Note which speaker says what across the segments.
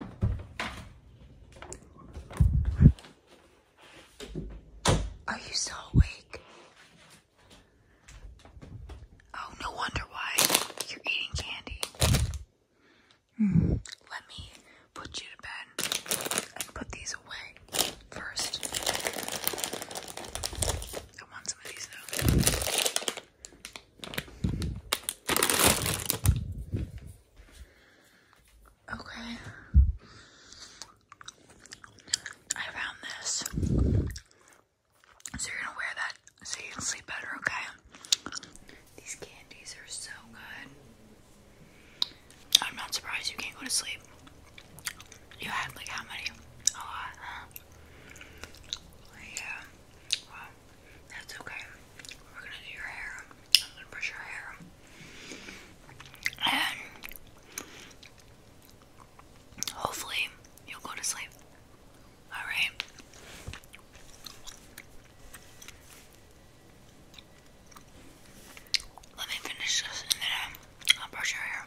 Speaker 1: Are you still awake? Oh, no wonder why you're eating candy. Hmm, let me put you to bed and put these away first. I want some of these though. Okay. I found this. So you're going to wear that so you can sleep better, okay? These candies are so good. I'm not surprised you can't go to sleep. You had like how many? A lot, Yeah. Wow. That's okay. We're gonna do your hair. I'm gonna brush your hair. And hopefully you'll go to sleep. Alright. Let me finish this and then I'll brush your hair.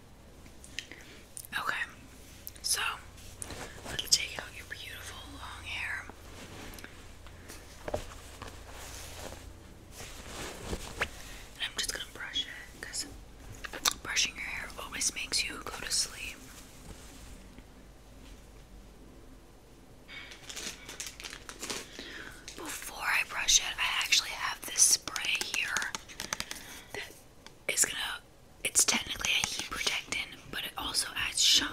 Speaker 1: Okay, so I'm take out your beautiful long hair. I'm just going to brush it because brushing your hair always makes you go to sleep. Before I brush it, I actually have this spray here that is gonna it's technically a heat protectant, but it also adds shine.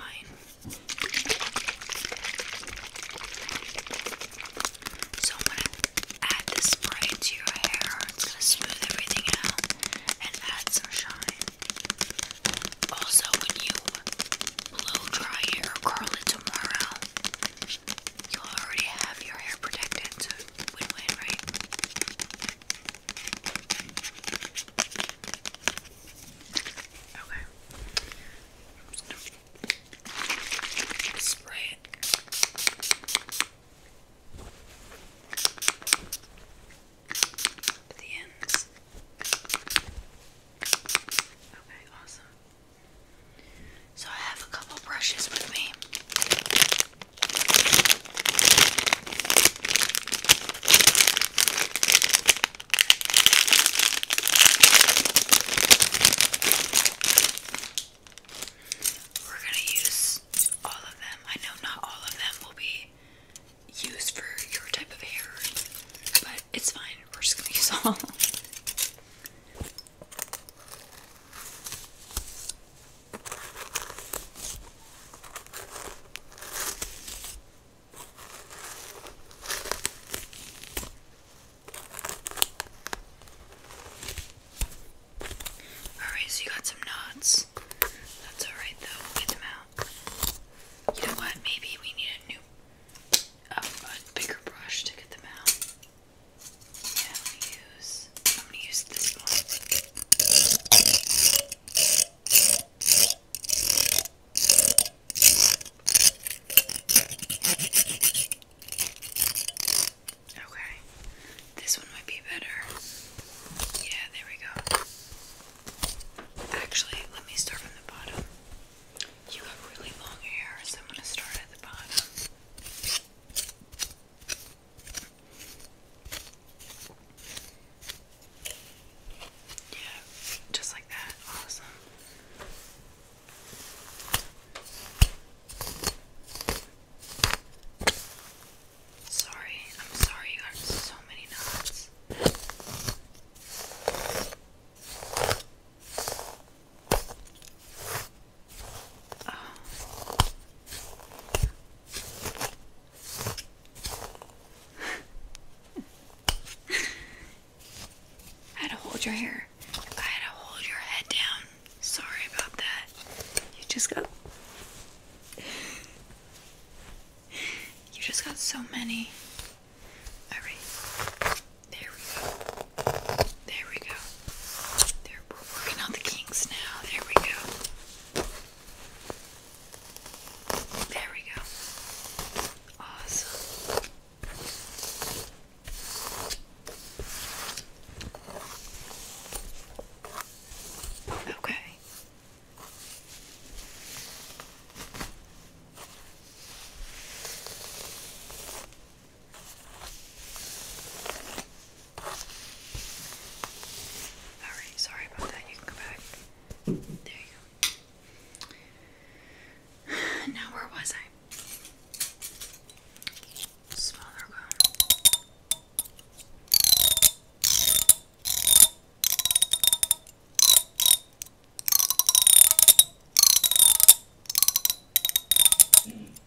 Speaker 1: So I'm gonna add the spray to your hair. It's gonna smooth everything out and add some shine. Also, when you blow dry it curl it tomorrow, you already have your hair protected, so win win, right? Okay. I'm just gonna spray it. The ends. Okay, awesome. So I have a couple brushes with me. We're going to use all of them. I know not all of them will be used for your type of hair, but it's fine. We're just going to use all. Alright, so you got some knots. That's alright though, we'll get them out. You know what? Maybe we need a new, um, a bigger brush to get them out. I'm gonna use. I'm gonna use this one. Okay, this one might be better. Yeah, there we go. Actually, let me start from the bottom. You have really long hair, so I'm gonna start at the bottom. Yeah, just like that. Awesome. Sorry, I'm sorry you got so many knots. I had to hold your hair. I had to hold your head down. Sorry about that. You just got. You just got so many. Alright. There we go. There we go. we're working on the kinks now. There we go. There we go. Awesome. Okay. Alright, sorry about that. You can go back. There you go. Now, where was I?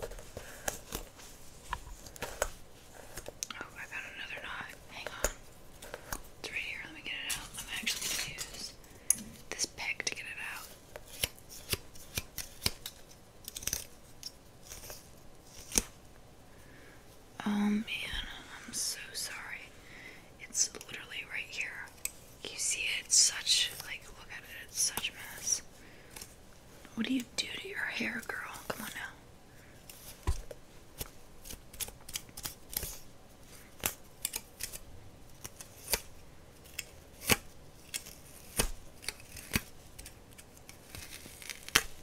Speaker 1: Oh, I found another knot. Hang on. It's right here. Let me get it out. I'm actually going to use this peg to get it out. Oh man, I'm so sorry. It's literally right here. You see it? such, like, look at it. It's such a mess. What do you do to your hair, girl? Come on now.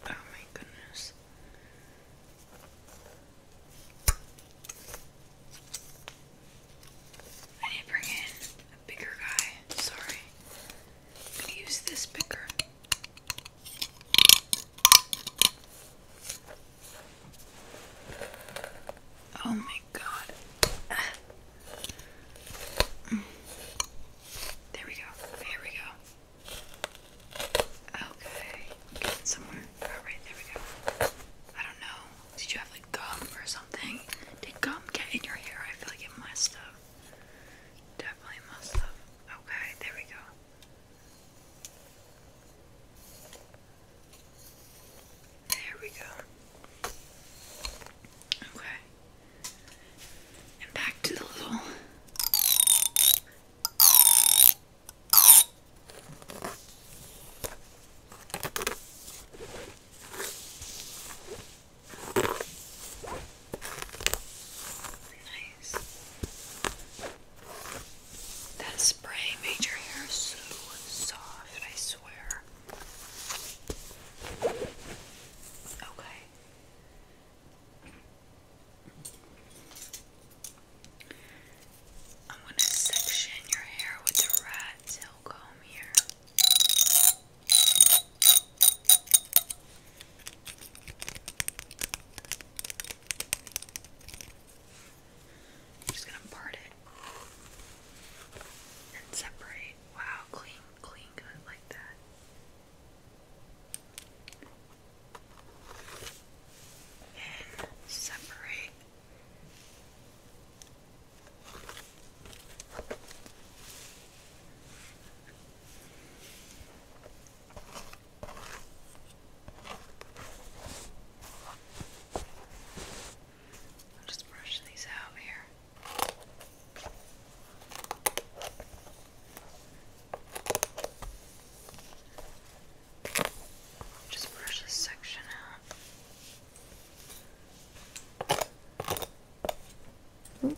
Speaker 1: Oh, my goodness. I need to bring in a bigger guy. Sorry. I'm going to use this picker. Oh my god. Mm. There we go. Here we go. Okay. somewhere. Alright, there we go. I don't know. Did you have like gum or something? Did gum get in your hair? I feel like it must have. Definitely must have. Okay, there we go. There we go. Okay. And back to the little. That spray made your hair so soft, I swear. Okay. I'm going to section your hair with the rat tail comb here. I'm just gonna part it and separate. Wow, clean, clean, good like that. And separate. I'll just brush these out here. Just brush this section out. Oop.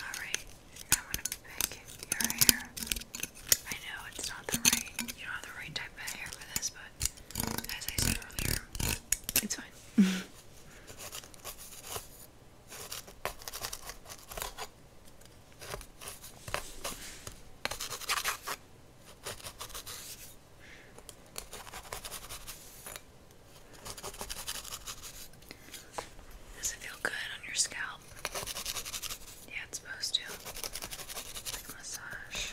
Speaker 1: Alright, I'm to pick your hair. I know it's not the right, you don't have the right type of hair for this, but as I said earlier, it's fine. Does it feel good on your scalp? Yeah, it's supposed to. Like massage.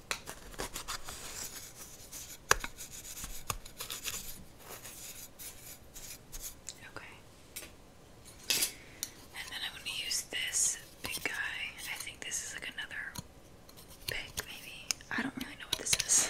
Speaker 1: Okay. And then I'm going to use this big guy. I think this is like another pig, maybe. I don't really know what this is.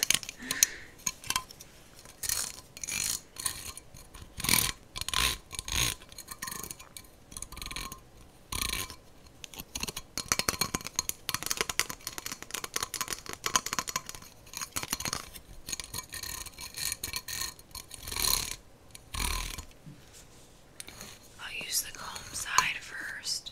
Speaker 1: I'll use the comb side first.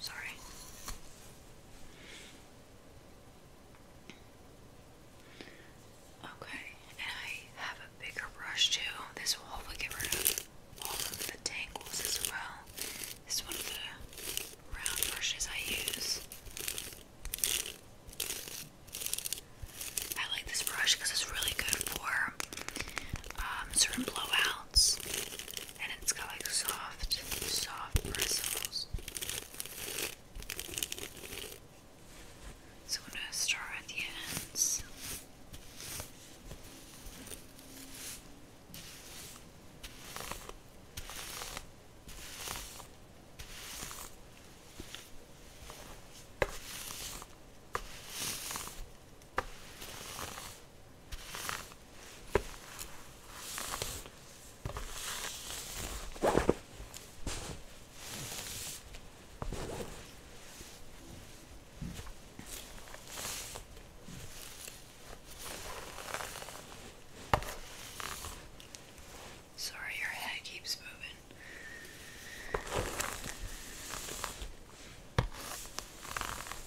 Speaker 1: Sorry. Okay, and I have a bigger brush too. This will hopefully get rid of all of the tangles as well. This is one of the round brushes I use. I like this brush because it's really good for um, certain blowouts and it's got like soft, soft bristles. So I'm gonna start at the ends. Sorry, your head keeps moving.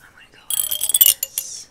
Speaker 1: I'm going to go with this.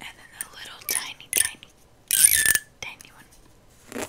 Speaker 1: And then the little tiny, tiny, tiny one.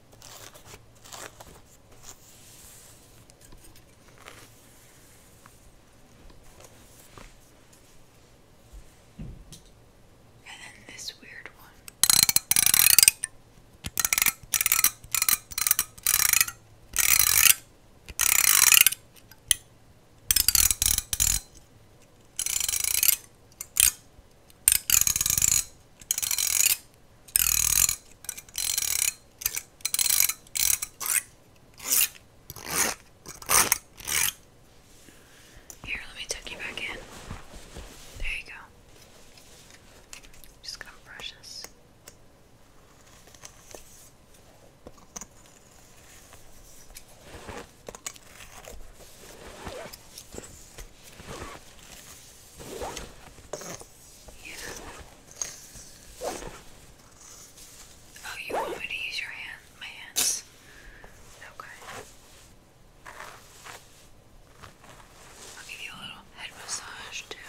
Speaker 1: And then this weird one. Here, let me tuck you back in. There you go. I'm just gonna brush this. Oh, you want me to use your hand, my hands? Okay. I'll give you a little head massage too.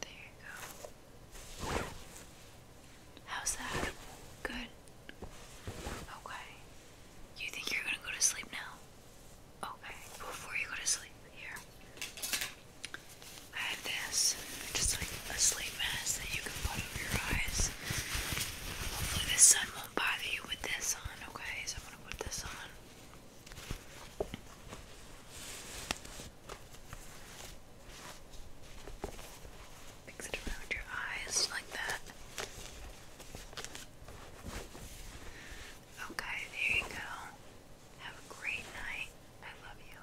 Speaker 1: There you go. How's that? Good. Okay. You think you're gonna go to sleep now? Okay. Before you go to sleep, here. I have this, just like a sleep mask that you can put over your eyes. Hopefully, the sun won't bother you with this on okay? So I'm gonna put this on. Mix it around your eyes like that. Okay, there you go. Have a great night. I love you.